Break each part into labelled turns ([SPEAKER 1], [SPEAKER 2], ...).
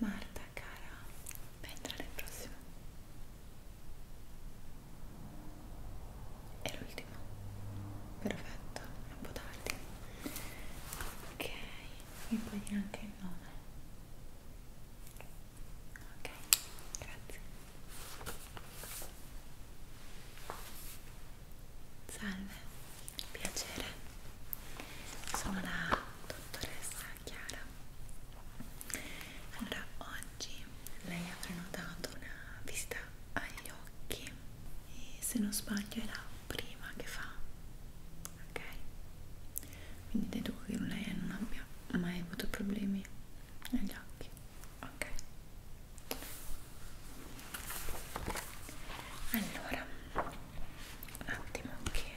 [SPEAKER 1] Marta cara, entra nel prossimo. È l'ultimo. Perfetto, è un po' tardi ok mi puoi dire anche il nome ok grazie salve piacere sono la dottoressa Chiara allora oggi lei ha prenotato una visita agli occhi e se non sbaglio era prima che fa ok quindi deduco che lei non abbia mai avuto problemi agli occhi ok allora un attimo che okay.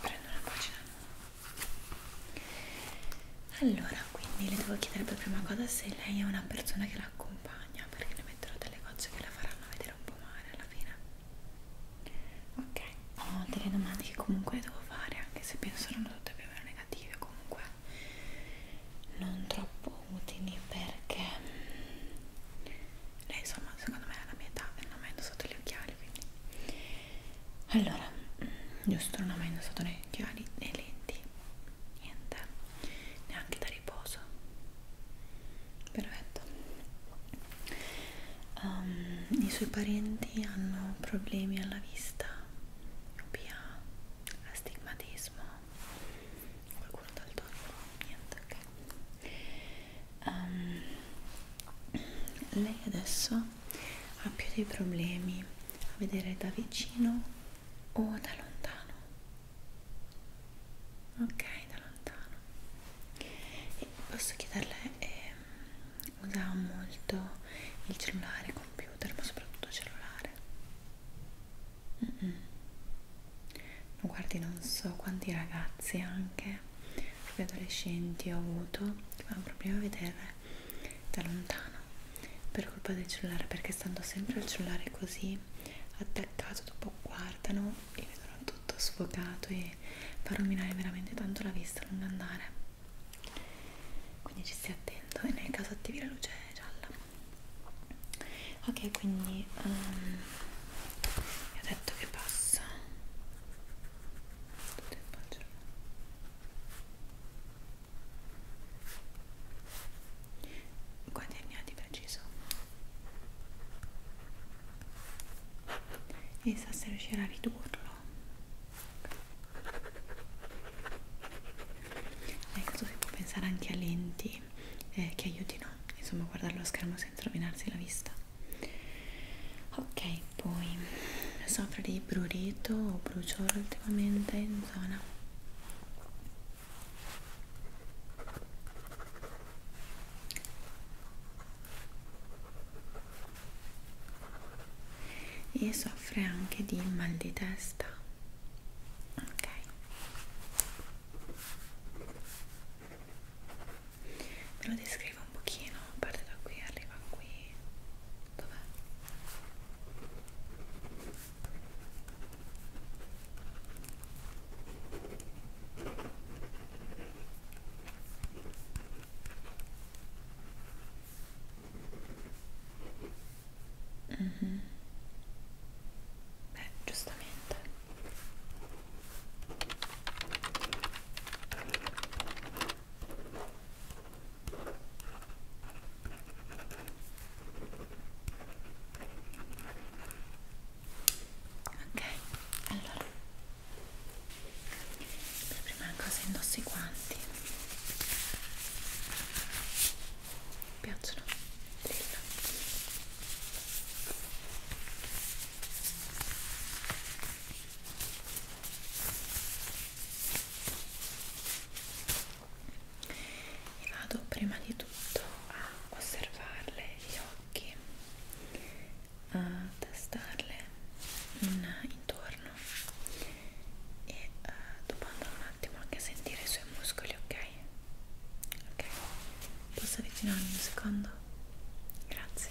[SPEAKER 1] prendo una pagina nuova allora quindi le devo chiedere per prima cosa se lei è una persona che la accompagna perché le metterò delle gocce che la faranno vedere un po' male alla fine ok ho delle domande che comunque devo fare anche se penso non tutte più o meno negative comunque non troppo utili perché mm, lei insomma secondo me è la mia età e non avendo sotto gli occhiali quindi allora giusto mm, non ho mai indossato né occhiali né lenti niente neanche da riposo perfetto um, i suoi parenti hanno problemi alla vista miopia astigmatismo qualcuno dal tonico niente ok um, lei adesso ha più dei problemi a vedere da vicino o da lontano ok da lontano e posso chiederle eh, usa molto il cellulare computer ma soprattutto il cellulare mm -mm. Guardi, non so quanti ragazzi, anche proprio adolescenti, ho avuto che hanno problemi a vedere da lontano per colpa del cellulare perché stando sempre al cellulare così attaccato dopo guardano e vedono tutto sfocato e fa rovinare veramente tanto la vista a lungo andare quindi ci stia attento e nel caso attivi la luce gialla ok quindi um, ehm, vi ho detto che passa tutto il quanti anni ha di preciso? E sa se riuscirà a ridurlo. Ecco, si può pensare anche a lenti eh, che aiutino, insomma, a guardare lo schermo senza rovinarsi la vista ok poi soffro di prurito o bruciore ultimamente in zona e soffre anche di mal di testa ok ve lo descrivo arriva un pochino, parte da qui, arriva qui. Dov'è? Mm -hmm. Beh, giustamente. Ok, allora per prima cosa indosso i guanti. Mi piacciono? Lilla e vado prima di tutto a osservarle gli occhi a tastarle in, intorno e uh, eh, dopo andare un attimo anche a sentire i suoi muscoli ok ok posso avvicinarmi un secondo grazie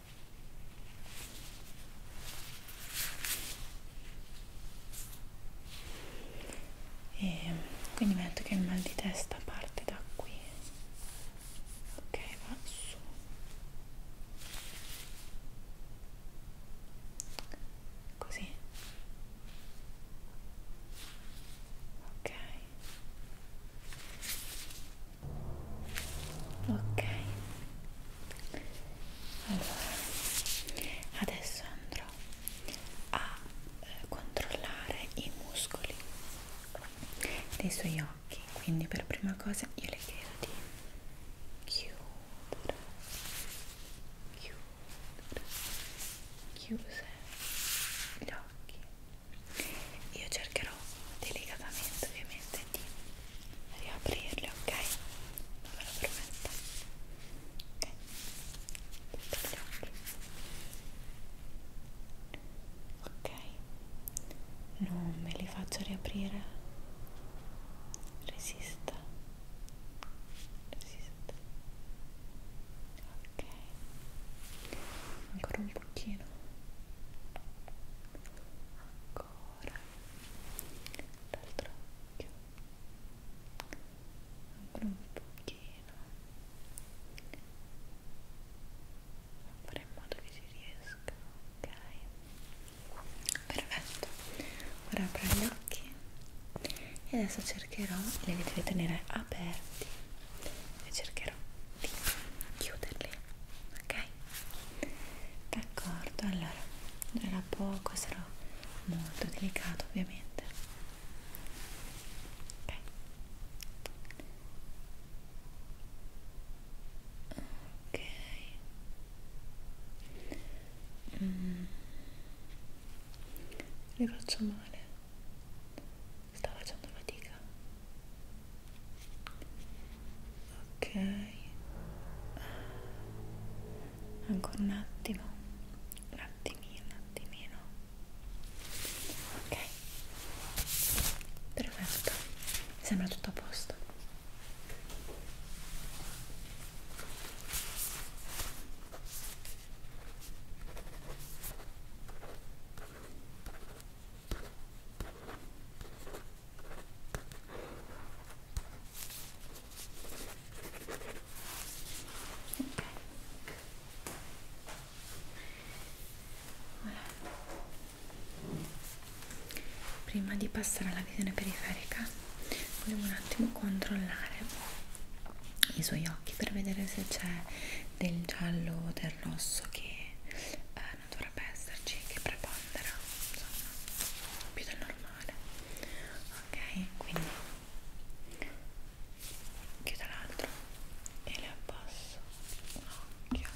[SPEAKER 1] e quindi metto che il mal di testa parte da qui ok va su così ok ok allora adesso andrò a eh, controllare i muscoli dei suoi occhi quindi per prima cosa io le chiedo di chiudere chiudere chiuse gli occhi io cercherò delicatamente ovviamente di riaprirli ok non ve lo prometto ok gli occhi ok non me li faccio riaprire resista resista ok ancora un pochino ancora l'altro occhio ancora un pochino fare in modo che ci riesca ok perfetto ora apro gli occhi e adesso cercherò li devi tenere aperti e cercherò di chiuderli ok ok d'accordo allora era poco sarò molto delicato ovviamente ok ok mm. le faccio male sta facendo fatica ok ancora un attimo un attimino un attimino ok perfetto mi sembra tutto a posto ok Voilà. Prima di passare alla visione periferica volevo un attimo controllare i suoi occhi per vedere se c'è del giallo o del rosso che eh, non dovrebbe esserci che prepondera insomma più del normale ok quindi chiudo l'altro e le abbasso un occhio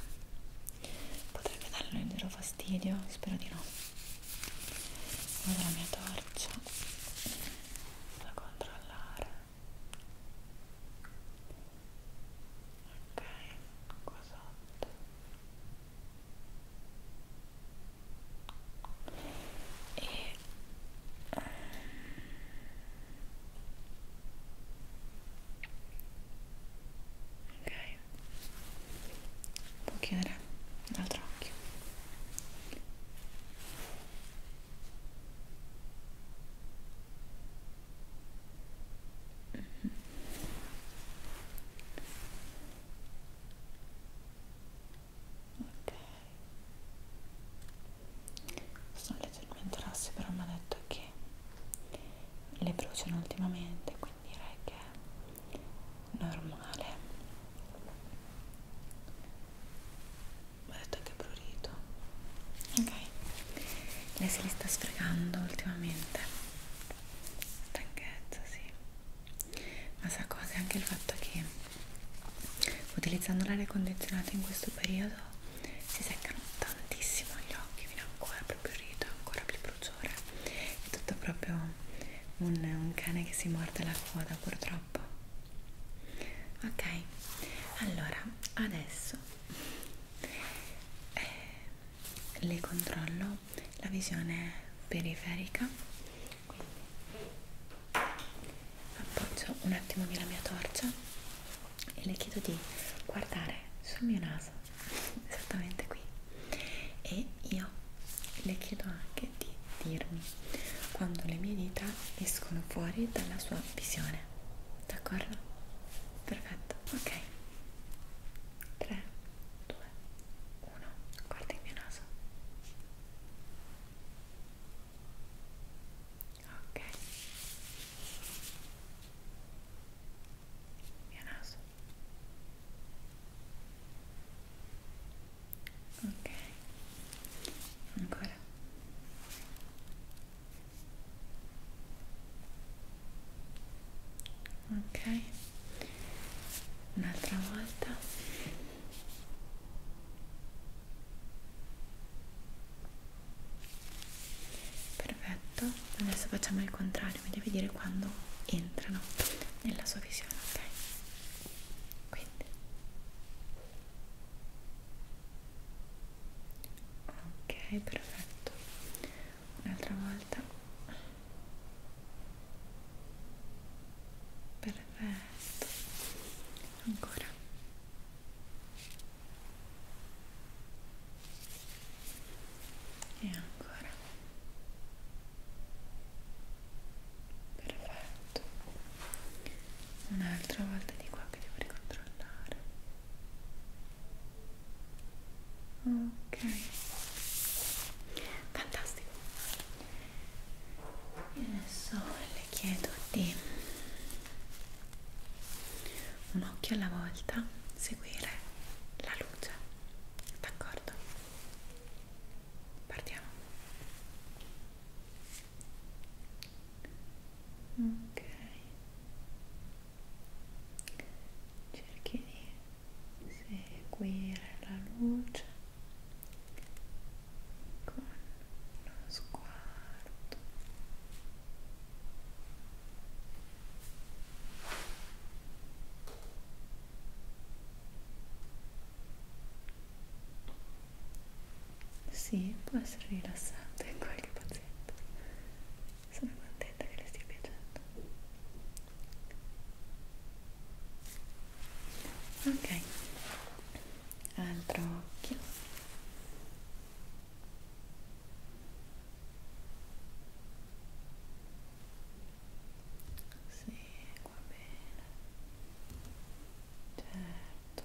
[SPEAKER 1] potrebbe darle un intero fastidio spero di no vado la mia torcia da controllare ok qua sotto e um, ok può chiudere l'altro occhio ok sono leggermente rosse però mi ha detto che le bruciano ultimamente quindi direi che è normale mi ha detto che è prurito ok lei se li sta sfregando ultimamente stanchezza sì ma sa cosa è anche il fatto che utilizzando l'aria condizionata in questo periodo si seccano tantissimo gli occhi viene ancora più prurito ancora più bruciore è tutto proprio un, un cane che si morde la coda purtroppo ok allora adesso eh, le controllo la visione periferica quindi appoggio un attimino la mia torcia e le chiedo di guardare sul mio naso esattamente qui e io le chiedo anche di dirmi quando le mie dita escono fuori dalla sua visione d'accordo perfetto, ok 3, 2, 1 guarda il mio naso ok il mio naso ok ancora ok un'altra volta perfetto adesso facciamo il contrario mi devi dire quando entrano nella sua visione ok quindi ok perfetto un'altra volta perfetto ancora e ancora perfetto un'altra volta di qua che devo ricontrollare ok fantastico e adesso le chiedo di un occhio alla volta seguire la luce d'accordo partiamo ok cerchi di seguire la luce con lo sguardo sì, può essere rilassante in qualche paziente sempre sono contenta che le stia piacendo ok altro occhio sì, va bene certo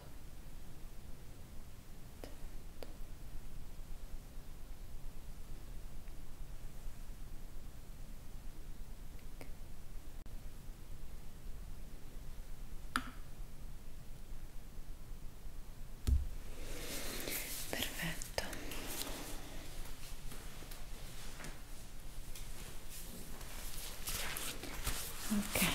[SPEAKER 1] Perfetto. Ok.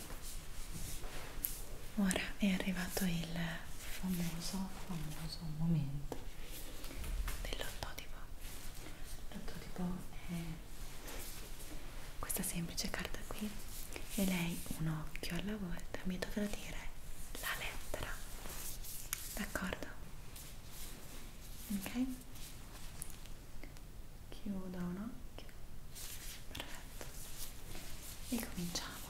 [SPEAKER 1] Ora è arrivato il famoso, famoso momento dell'ottotipo. L'ottotipo è questa semplice carta qui e lei un occhio alla volta mi dovrà dire la lettera. D'accordo? Ok? Chiudo un occhio. Perfetto. E cominciamo.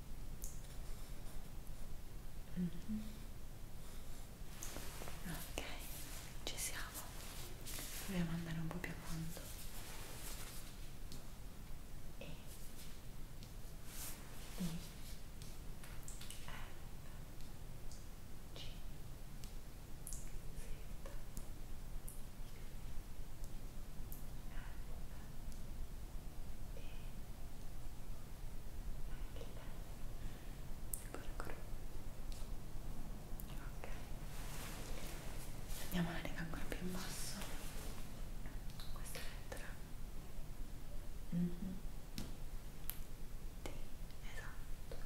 [SPEAKER 1] Mm -hmm. Ok, ci siamo. Proviamo ad andare un po' più a fondo. E I F G Z ancora ancora ok andiamo alla riga ancora più in basso questa lettera mm -hmm. sì, esatto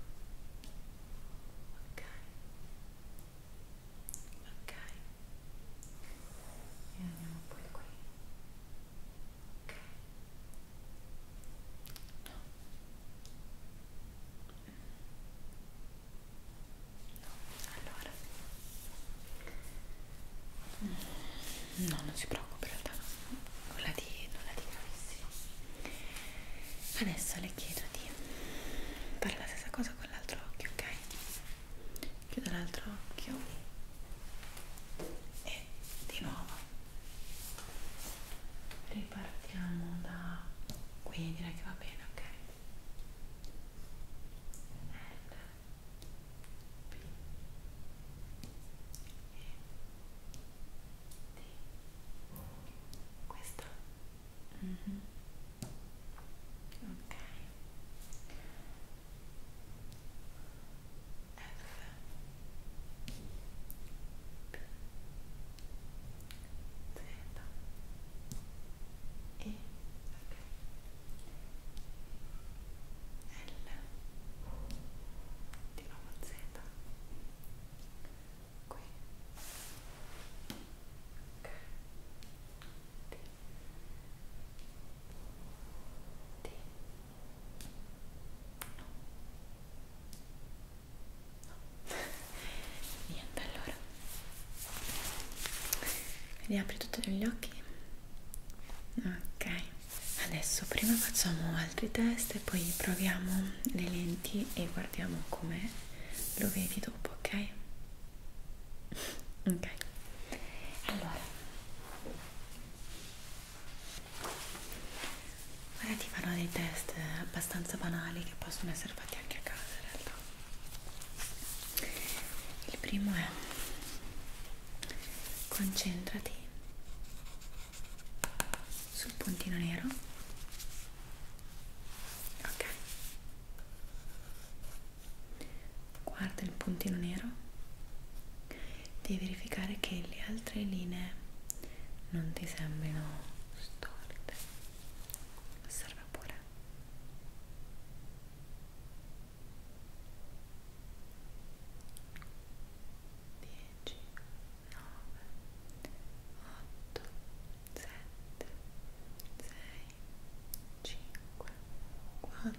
[SPEAKER 1] ok ok e andiamo poi qui ok no allora no non si preoccupi in realtà nulla di, nulla di gravissimo adesso le chiedo di fare la stessa cosa con l'altro occhio ok chiudo l'altro occhio e di nuovo ripartiamo da qui direi che va bene ok L, P, E, D questo mm -hmm. ok di nuovo Z qui ok D D no, no. niente allora riapri tutti gli occhi ok adesso prima facciamo altri test e poi proviamo le lenti e guardiamo come lo vedi dopo ok ok allora ora ti farò dei test abbastanza banali che possono essere fatti anche a casa in realtà il primo è concentrati sul puntino nero ok guarda il puntino nero devi verificare che le altre linee non ti sembrino storte osserva pure Dieci, nove, otto, sette, sei, 5, 4,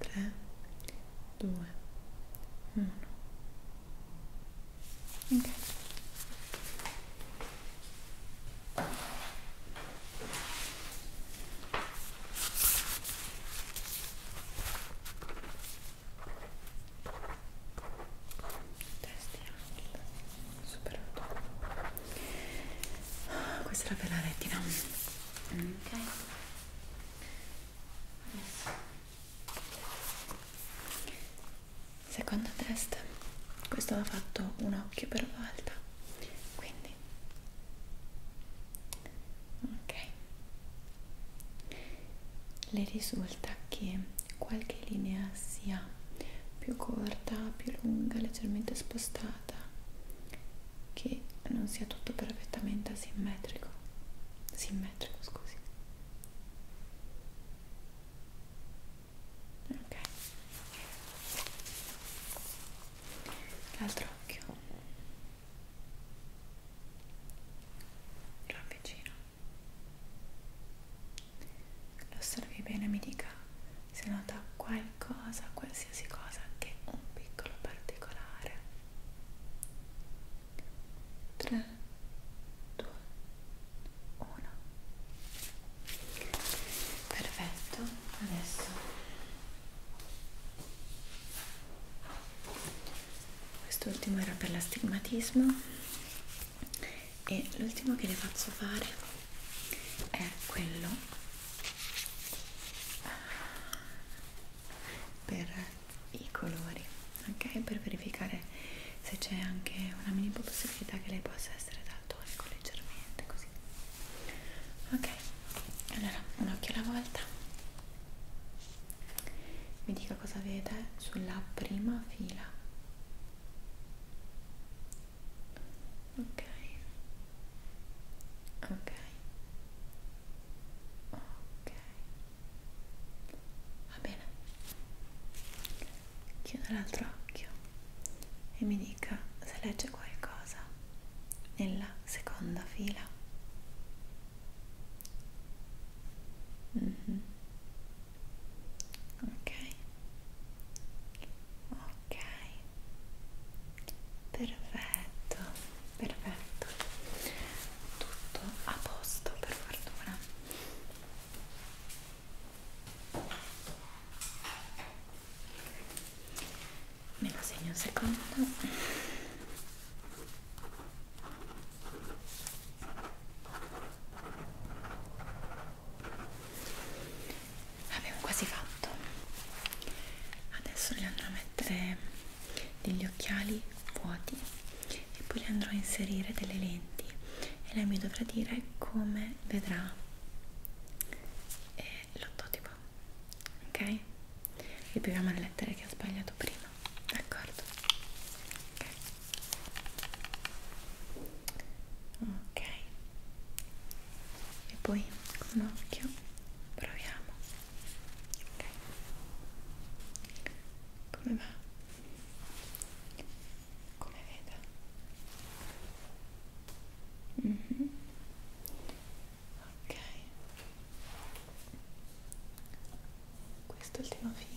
[SPEAKER 1] 3, 2, 1 ok Testi anche superato. Questa è la bella retina ok adesso secondo test questo va fatto un occhio per volta quindi ok le risulta che qualche linea sia più corta più lunga leggermente spostata che non sia tutto perfettamente asimmetrico simmetrico scusi ok l'altro occhio lo avvicino lo osservi bene mi dica se nota qualche cosa, qualsiasi cosa, anche un piccolo particolare. 3, 2, 1. Perfetto, adesso quest'ultimo era per l'astigmatismo e l'ultimo che le faccio fare è quello per i colori ok per verificare se c'è anche una minima possibilità che lei possa essere daltonico ecco, leggermente così ok allora un occhio alla volta mi dica cosa vede sulla prima fila ok ok ok va bene chiuda l'altro occhio e mi dica se legge qualcosa nella seconda fila mm -hmm. ok ok perfetto perfetto tutto a posto per fortuna me lo segno un secondo Abbiamo quasi fatto. Adesso le andrò a mettere degli occhiali vuoti e poi le andrò a inserire delle lenti e lei mi dovrà dire come vedrà eh, l'ottotipo. Ok? Ripetiamo le lettere che ho sbagliato prima. D'accordo? Ok. Ok e poi con un occhio proviamo ok come va come vedo mm -hmm. ok quest'ultima fila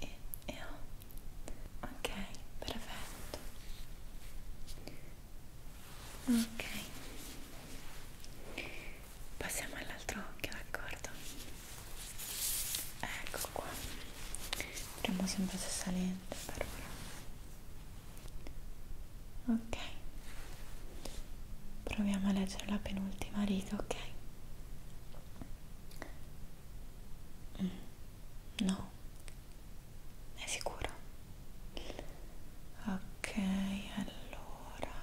[SPEAKER 1] e, e ho. Ok, perfetto. Ok. Passiamo all'altro occhio, d'accordo? Ecco qua. Premo sempre se salente per ora ok proviamo a leggere la penultima riga ok mm. no è sicuro ok allora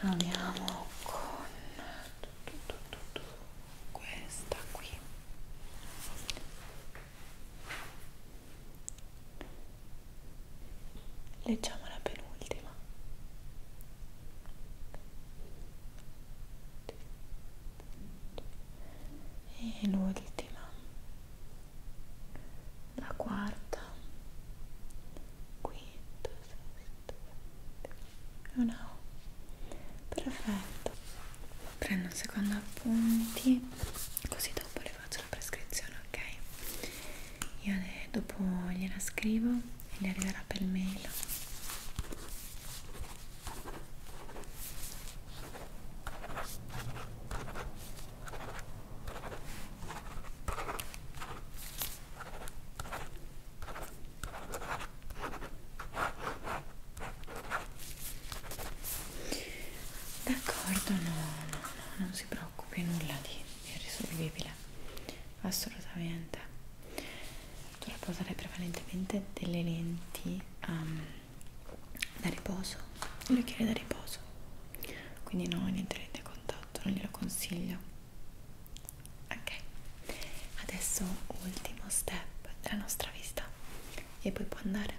[SPEAKER 1] proviamo con questa qui Leggiamo la penultima. E l'ultima, la quarta, quinta, sesta, e una O. Perfetto prendo un secondo appunti così dopo le faccio la prescrizione ok io dopo gliela scrivo e le arriverà per mail D'accordo, no, no, no, non si preoccupi, nulla di irrisolvibile, assolutamente. Dovrebbe usare prevalentemente delle lenti um, da riposo, gli occhiali da riposo, quindi no, niente lente a contatto, non glielo consiglio. Ok, adesso ultimo step della nostra vista e poi può andare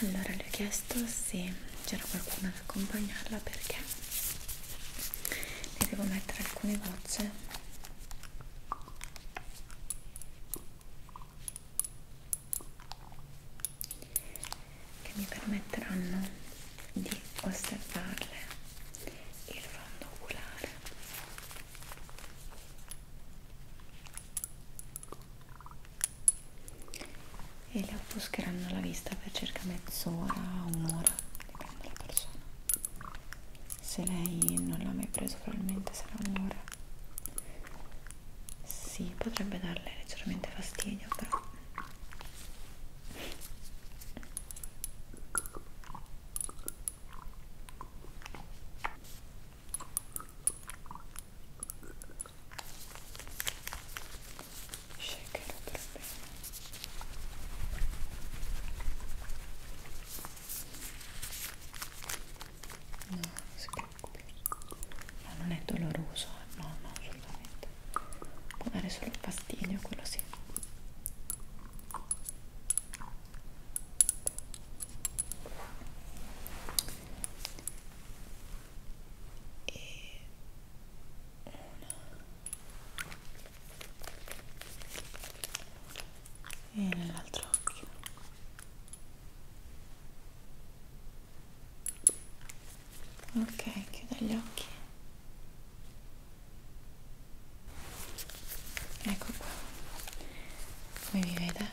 [SPEAKER 1] allora le ho chiesto se c'era qualcuno ad accompagnarla perché le devo mettere alcune gocce che mi permetteranno di osservarle il fondo oculare e le offuscheranno la vista per circa mezz'ora, un'ora, dipende dalla persona. Se lei non l'ha mai preso probabilmente sarà un'ora. Sì, potrebbe darle leggermente fastidio, però shakerò per bene no, si preoccupi ma non è doloroso? Eh. no, no, assolutamente può dare solo fastidio, quello sì. E una e nell'altro occhio ok chiudo gli occhi ecco qua come mi vede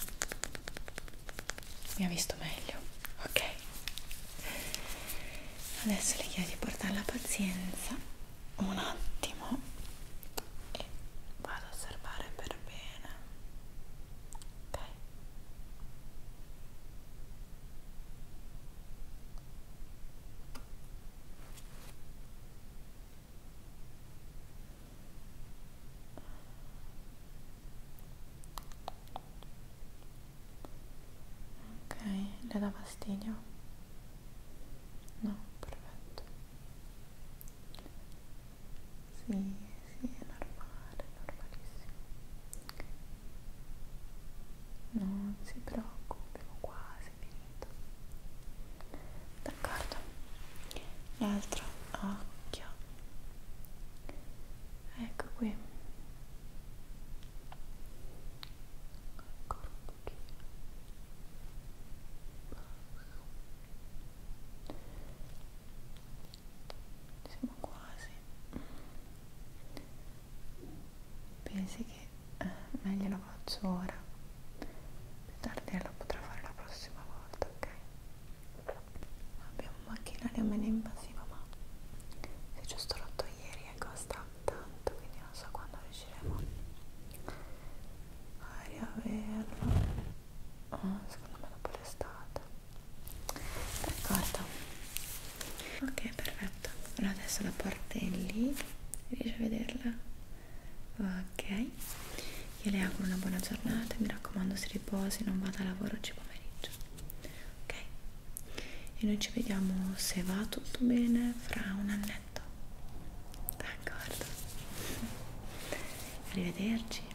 [SPEAKER 1] mi ha visto meglio ok adesso le chiedo di portare la pazienza un attimo e vado a osservare per bene ok Ok, le dà fastidio? No, perfetto. Sì, sì, è normale, è normalissimo non si preoccupi, ho quasi finito d'accordo l'altro occhio ecco qui ancora un pochino siamo quasi pensi che eh, meglio la faccio ora più tardi la potrò fare la prossima volta ok abbiamo un macchinario meno invasivo ma si è giusto rotto ieri e costa tanto quindi non so quando riusciremo a riaverlo oh, secondo me dopo l'estate d'accordo ok perfetto allora adesso la portelli riesci a vederla ok io le auguro una buona giornata mi raccomando si riposi non vada a lavoro oggi pomeriggio ok e noi ci vediamo se va tutto bene fra un annetto d'accordo arrivederci